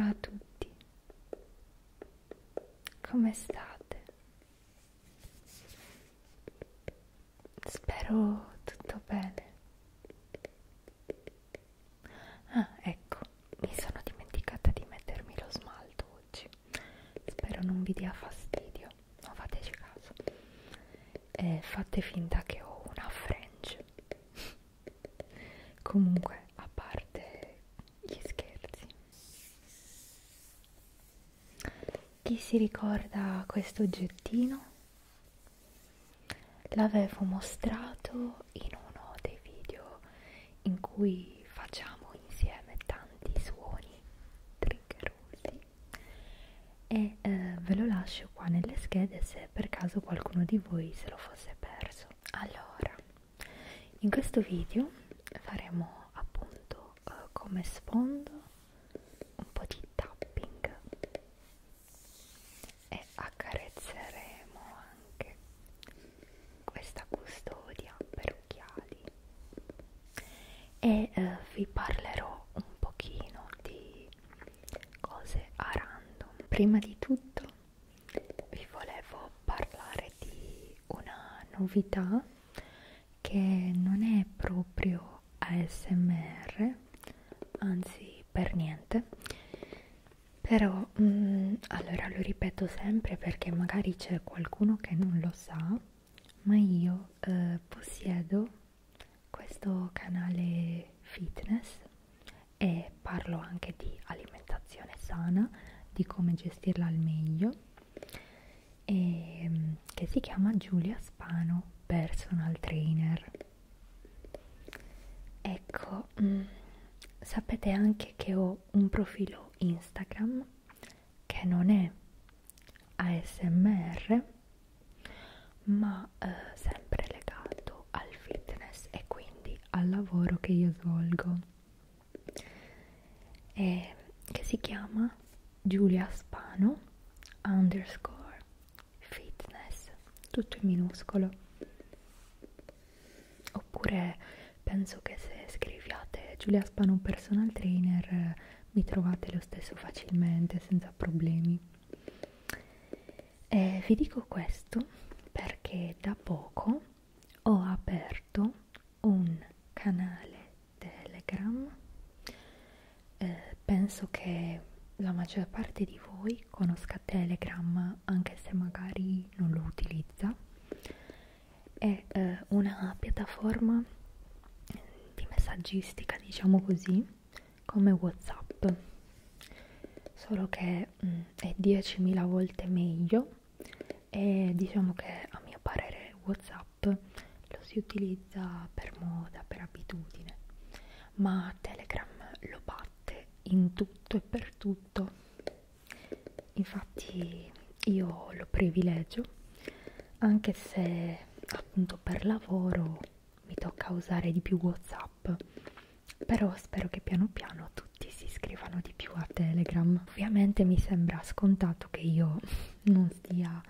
Ciao a tutti, come state? Spero tutto bene. Ah, ecco, mi sono dimenticata di mettermi lo smalto oggi. Spero non vi dia fastidio, non fateci caso. E eh, fate finta che ho una fringe comunque a parte gli scherzi chi si ricorda questo oggettino? l'avevo mostrato in uno dei video in cui facciamo insieme tanti suoni triggerosi e eh, ve lo lascio qua nelle schede se per caso qualcuno di voi se lo fosse perso adesso allora in questo video faremo appunto eh, come sfondo un po' di tapping e accarezzeremo anche questa custodia per occhiali e eh, vi parlerò un pochino di cose a random prima di tutto vi volevo parlare di una novità che non è proprio ASMR, anzi per niente, però mh, mm, allora lo ripeto sempre perché magari c'è qualcuno che non lo sa, ma io eh, possiedo questo canale fitness e parlo anche di alimentazione sana, di come gestirla al meglio, e, ehm, che si chiama Giulia Spano Personal Trainer. Ecco, mh, mm, sapete anche che ho un profilo Instagram che non è ASMR, ma eh, sempre legato al fitness e quindi al lavoro che io svolgo e, che si chiama Giulia Spano underscore fitness tutto in minuscolo oppure penso che se scriviate Giulia Spano personal trainer eh, mi trovate lo stesso facilmente senza problemi eh, vi dico questo perché da poco ho aperto un canale Telegram, eh, penso che la maggior parte di voi conosca Telegram anche se magari non lo utilizza, è eh, una piattaforma di messaggistica diciamo così come whatsapp solo che mh, mm, è 10.000 volte meglio e diciamo che a mio parere whatsapp lo si utilizza per moda per abitudine ma telegram lo batte in tutto e per tutto infatti io lo privilegio anche se appunto per lavoro mi tocca usare di più whatsapp app però spero che piano piano tutti si iscrivano di più a telegram ovviamente mi sembra scontato che io non stia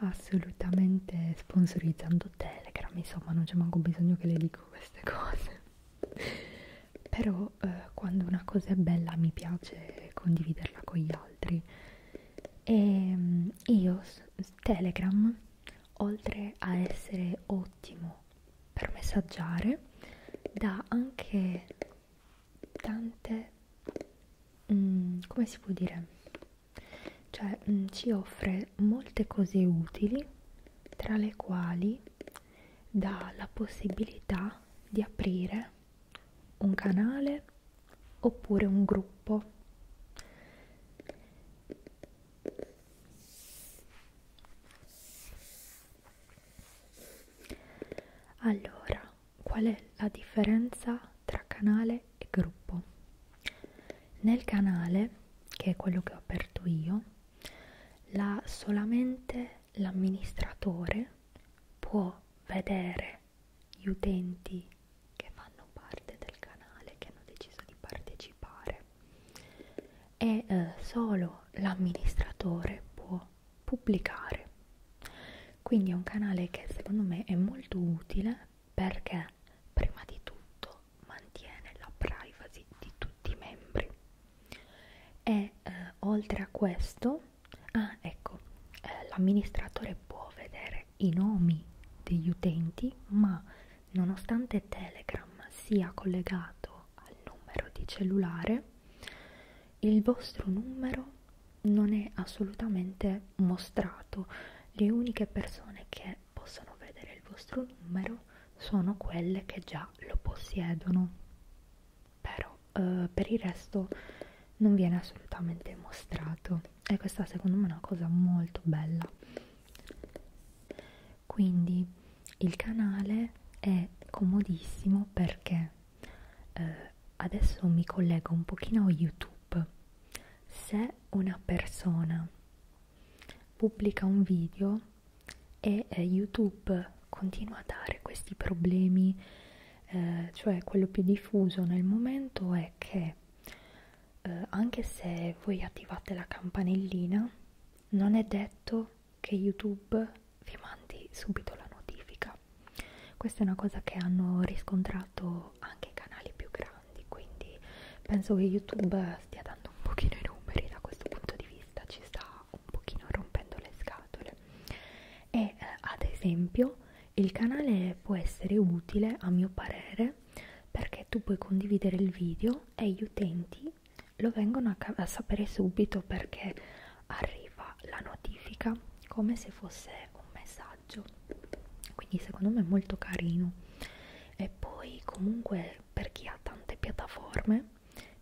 assolutamente sponsorizzando telegram insomma non c'è manco bisogno che le dico queste cose però eh, quando una cosa è bella mi piace condividerla con gli altri e ehm, io Telegram oltre a essere ottimo per messaggiare, dà anche tante, mm, come si può dire, cioè mm, ci offre molte cose utili, tra le quali dà la possibilità di aprire un canale oppure un gruppo allora, qual è la differenza tra canale e gruppo? Nel canale, che è quello che ho aperto io, la, solamente l'amministratore può vedere gli utenti che fanno parte del canale, che hanno deciso di partecipare e eh, solo l'amministratore può pubblicare. Quindi è un canale che secondo me è molto utile perché prima di tutto mantiene la privacy di tutti i membri. E eh, oltre a questo, ah, ecco, eh, l'amministratore può vedere i nomi degli utenti, ma nonostante Telegram sia collegato al numero di cellulare, il vostro numero non è assolutamente mostrato. Le uniche persone che possono vedere il vostro numero sono quelle che già lo possiedono. Però eh, per il resto non viene assolutamente mostrato. E questa secondo me è una cosa molto bella quindi il canale è comodissimo perché eh, adesso mi collego un pochino a youtube se una persona pubblica un video e eh, youtube continua a dare questi problemi eh, cioè quello più diffuso nel momento è che eh, anche se voi attivate la campanellina non è detto che youtube vi mandi subito la notifica questa è una cosa che hanno riscontrato anche i canali più grandi quindi penso che youtube stia dando un pochino i numeri da questo punto di vista ci sta un pochino rompendo le scatole e eh, ad esempio il canale può essere utile a mio parere perché tu puoi condividere il video e gli utenti lo vengono a, a sapere subito perché arriva la notifica come se fosse un messaggio quindi secondo me è molto carino e poi comunque per chi ha tante piattaforme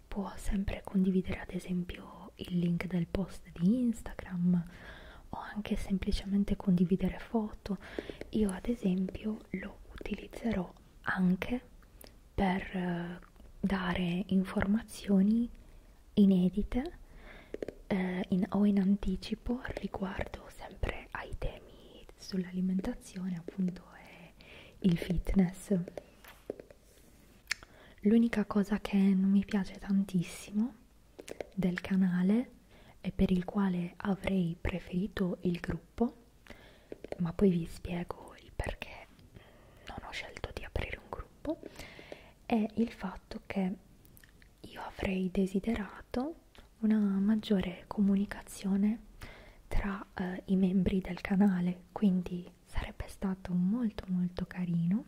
può sempre condividere ad esempio il link del post di Instagram o anche semplicemente condividere foto io ad esempio lo utilizzerò anche per eh, dare informazioni inedite eh, in, o in anticipo riguardo sempre ai temi sull'alimentazione appunto e il fitness l'unica cosa che non mi piace tantissimo del canale e per il quale avrei preferito il gruppo, ma poi vi spiego il perché non ho scelto di aprire un gruppo, è il fatto che io avrei desiderato una maggiore comunicazione tra eh, i membri del canale, quindi sarebbe stato molto molto carino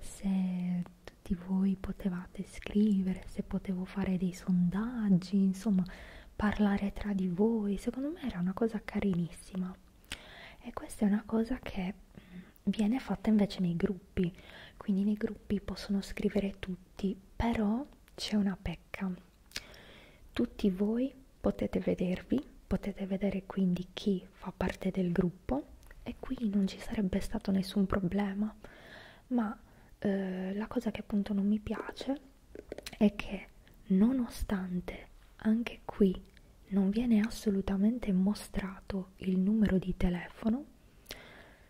se tutti voi potevate scrivere, se potevo fare dei sondaggi, insomma parlare tra di voi, secondo me era una cosa carinissima e questa è una cosa che mm, viene fatta invece nei gruppi, quindi nei gruppi possono scrivere tutti, però c'è una pecca. Tutti voi potete vedervi, potete vedere quindi chi fa parte del gruppo gruppo e qui non ci sarebbe stato nessun problema ma eh, la cosa che appunto non mi piace è che nonostante anche qui non viene assolutamente mostrato il numero di telefono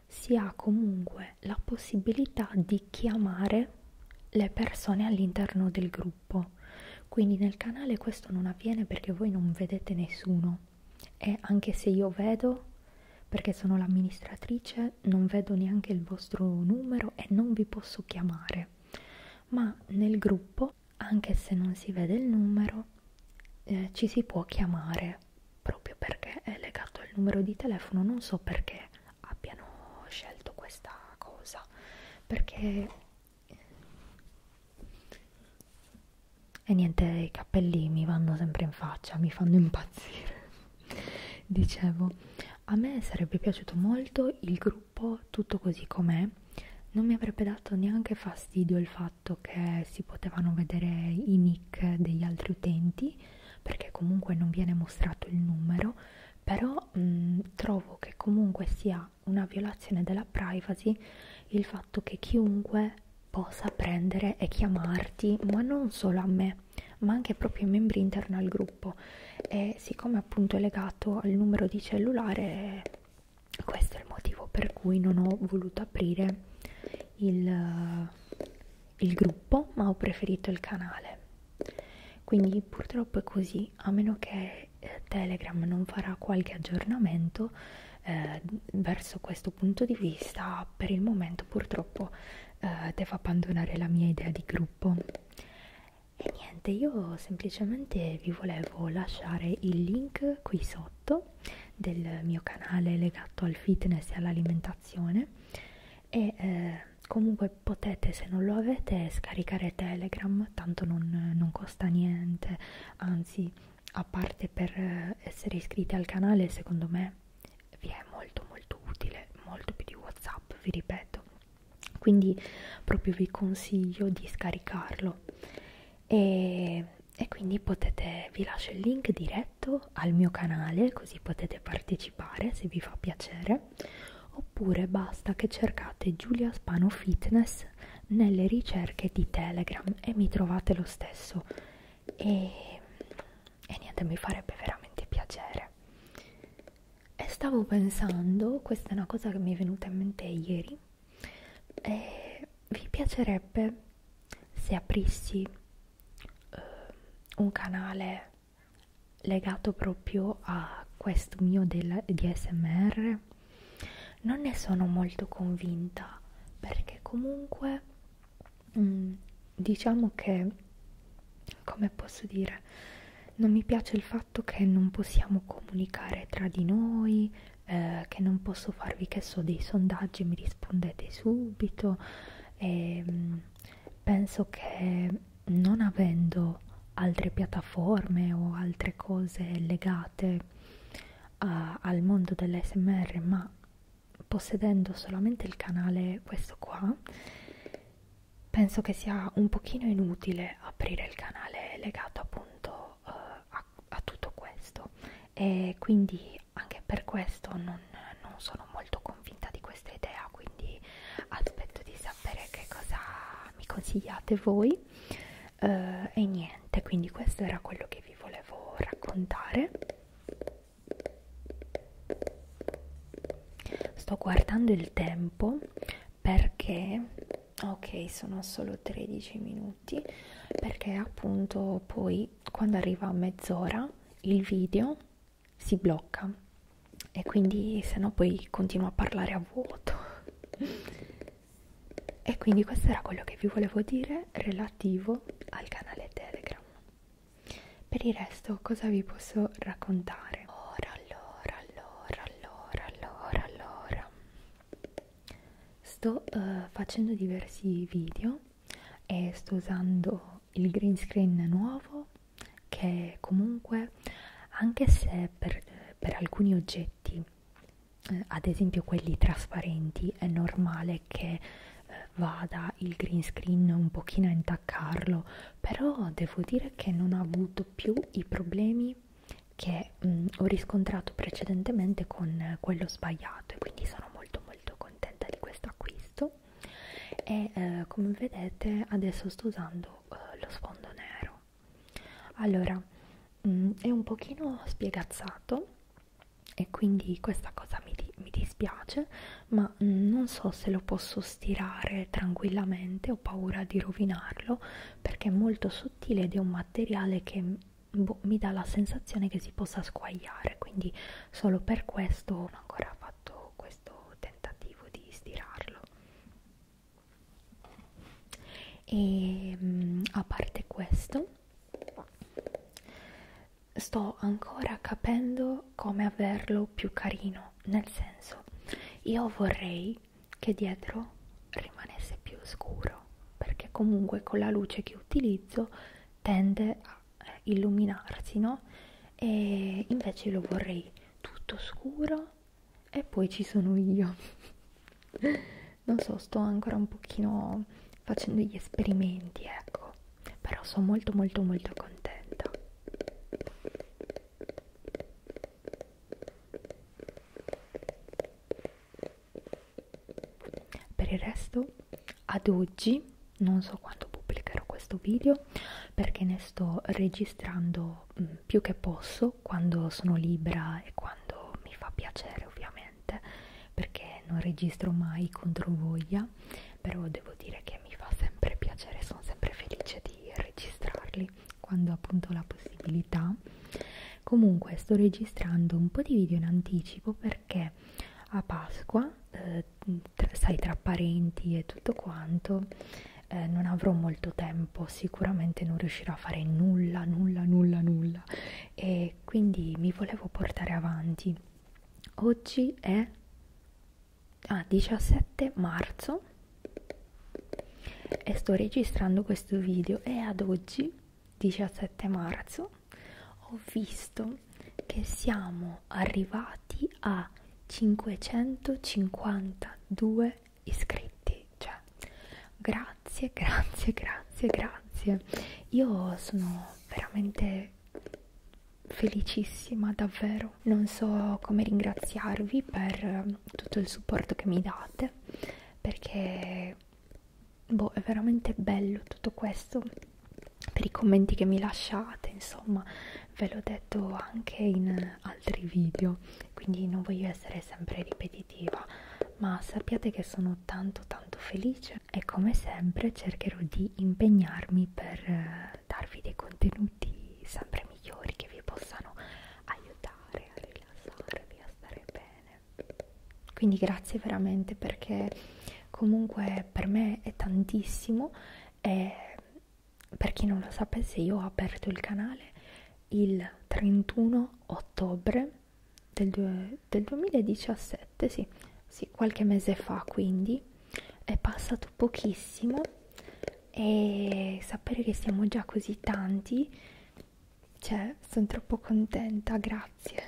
si ha comunque la possibilità di chiamare le persone all'interno del gruppo quindi nel canale questo non avviene perché voi non vedete nessuno no. E anche se io vedo, perché sono l'amministratrice, non vedo neanche il vostro numero e non vi posso chiamare. Ma nel gruppo, anche se non si vede il numero, eh, ci si può chiamare proprio perché è legato al numero di telefono. Non so perché abbiano scelto questa cosa, perché e niente i capelli mi vanno sempre in faccia mi fanno impazzire dicevo a me sarebbe piaciuto molto il gruppo tutto così com'è non mi avrebbe dato neanche fastidio il fatto che si potevano vedere i nick degli altri utenti perché comunque non viene mostrato il numero però mh, mm, trovo che comunque sia una violazione della privacy il, fatto che chiunque possa prendere e chiamarti, ma non solo a me, ma anche proprio ai membri interni al gruppo. E siccome appunto è legato al numero di cellulare, questo è il motivo per cui non ho voluto aprire il, il gruppo, ma ho preferito il canale. Quindi purtroppo è così, a meno che eh, Telegram non farà qualche aggiornamento eh, verso questo punto di vista per il momento purtroppo eh, devo abbandonare la mia idea di gruppo e niente io semplicemente vi volevo lasciare il link qui sotto del mio canale legato al fitness e all'alimentazione e eh, comunque potete se non lo avete scaricare telegram tanto non, non costa niente anzi a parte per eh, essere iscritti al canale secondo me vi è molto molto utile molto più di whatsapp vi ripeto quindi proprio vi consiglio di scaricarlo e, e quindi potete vi lascio il link diretto al mio canale così potete partecipare se vi fa piacere oppure basta che cercate Giulia Spano Fitness nelle ricerche di Telegram e mi trovate lo stesso e, e niente mi farebbe veramente piacere e stavo pensando questa è una cosa che mi è venuta in mente ieri e vi piacerebbe se aprissi uh, un canale legato proprio a questo mio DSMR non ne sono molto convinta perché comunque mh, mm, diciamo che come posso dire non mi piace il fatto che non possiamo comunicare tra di noi eh, che non posso farvi che so dei sondaggi mi rispondete subito e mh, mm, penso che non avendo altre piattaforme o altre cose legate a, al mondo dell'SMR ma possedendo solamente il canale questo qua penso che sia un pochino inutile aprire il canale legato appunto uh, a, a tutto questo e quindi anche per questo non, non sono molto convinta di questa idea quindi aspetto di sapere che cosa mi consigliate voi eh, e niente quindi questo era quello che vi volevo raccontare sto guardando il tempo perché ok sono solo 13 minuti perché appunto poi quando arriva a mezz'ora il video si blocca e quindi se no poi continuo a parlare a vuoto e quindi questo era quello che vi volevo dire relativo al canale Telegram. Per il resto cosa vi posso raccontare? Ora, allora, allora, allora, allora, allora. Sto uh, facendo diversi video e sto usando il green screen nuovo che comunque anche se per, eh, per alcuni oggetti eh, ad esempio quelli trasparenti è normale che eh, vada il green screen un pochino a intaccarlo però devo dire che non ho avuto più i problemi che mh, mm, ho riscontrato precedentemente con quello sbagliato e quindi sono molto molto contenta di questo acquisto e eh, come vedete adesso sto usando eh, lo sfondo nero allora, mh, mm, è un pochino spiegazzato e quindi questa cosa mi, di, mi dispiace, ma mh, mm, non so se lo posso stirare tranquillamente, ho paura di rovinarlo perché è molto sottile ed è un materiale che mm, boh, mi dà la sensazione che si possa squagliare, quindi solo per questo non ho ancora fatto questo tentativo di stirarlo e mm, a parte questo sto ancora capendo come averlo più carino nel senso io vorrei che dietro rimanesse più scuro perché comunque con la luce che utilizzo tende a eh, illuminarsi no e invece lo vorrei tutto scuro e poi ci sono io non so sto ancora un pochino facendo gli esperimenti ecco però sono molto molto molto contenta per il resto ad oggi non so quando pubblicherò questo video perché ne sto registrando mh, mm, più che posso uso quando sono libera e quando mi fa piacere ovviamente perché non registro mai contro voglia però devo dire che mi fa sempre piacere sono sempre felice di registrarli quando appunto ho la possibilità comunque sto registrando un po' di video in anticipo perché a Pasqua eh, tra, sai tra parenti e tutto quanto eh, non avrò molto tempo, sicuramente non riuscirò a fare nulla, nulla, nulla, nulla e quindi mi volevo portare avanti. Oggi è ah, 17 marzo e sto registrando questo video e ad oggi, 17 marzo, ho visto che siamo arrivati a 552 iscritti cioè grazie grazie grazie grazie io sono veramente felicissima davvero non so come ringraziarvi per tutto il supporto che mi date perché boh, è veramente bello tutto questo per i commenti che mi lasciate insomma ve l'ho detto anche in altri video quindi non voglio essere sempre ripetitiva ma sappiate che sono tanto tanto felice e come sempre cercherò di impegnarmi per eh, darvi dei contenuti sempre migliori che vi possano aiutare a rilassarvi a stare bene quindi grazie veramente perché comunque per me è tantissimo e per chi non lo sapesse, io ho aperto il canale il 31 ottobre del, due, del 2017, sì, sì, qualche mese fa quindi, è passato pochissimo e sapere che siamo già così tanti, cioè, sono troppo contenta, grazie.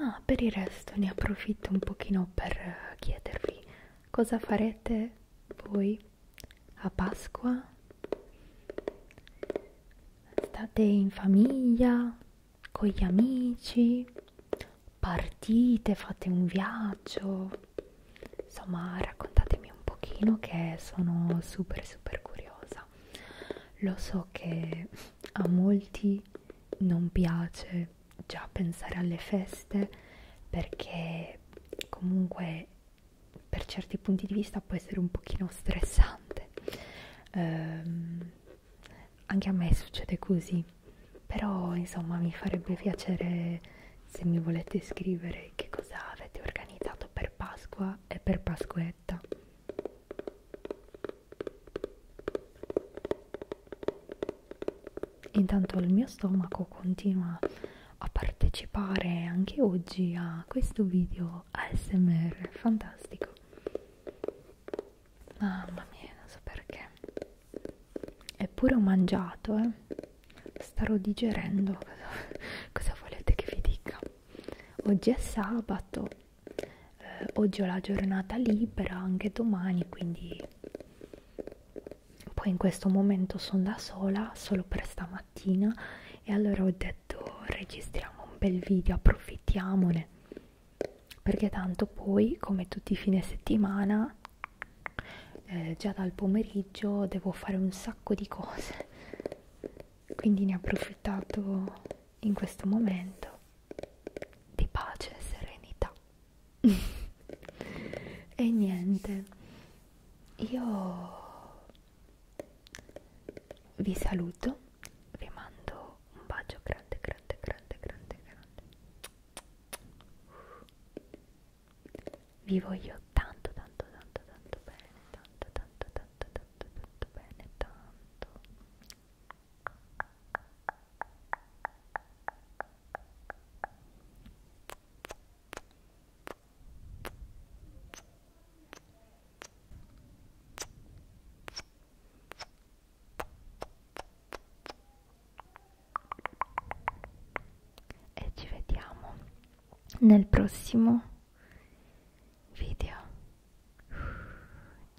Ah, per il resto ne approfitto un pochino per eh, chiedervi Cosa farete voi a Pasqua? State in famiglia, con gli amici, partite, fate un viaggio. Insomma, raccontatemi un pochino che sono super super curiosa. Lo so che a molti non piace già pensare alle feste perché comunque per certi punti di vista può essere un pochino stressante ehm, anche a me succede così però insomma mi farebbe piacere se mi volete scrivere che cosa avete organizzato per Pasqua e per Pasquetta Intanto il mio stomaco continua a partecipare anche oggi a questo video ASMR fantastico. Mamma mia, non so perché. Eppure ho mangiato, eh. Starò digerendo. Cosa, cosa volete che vi dica? Oggi è sabato. Eh, oggi ho la giornata libera, anche domani, quindi poi in questo momento sono da sola solo per stamattina e allora ho detto registriamo un bel video approfittiamone perché tanto poi come tutti i fine settimana eh, già dal pomeriggio devo fare un sacco di cose quindi ne ho approfittato in questo momento di pace e serenità e niente, io vi saluto, vi mando un bacio grande, grande, grande, grande, grande. Vi voglio tanto, tanto, tanto, tanto bene, tanto, tanto, tanto, tanto, tanto bene, tanto. E ci vediamo nel prossimo video.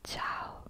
Ciao.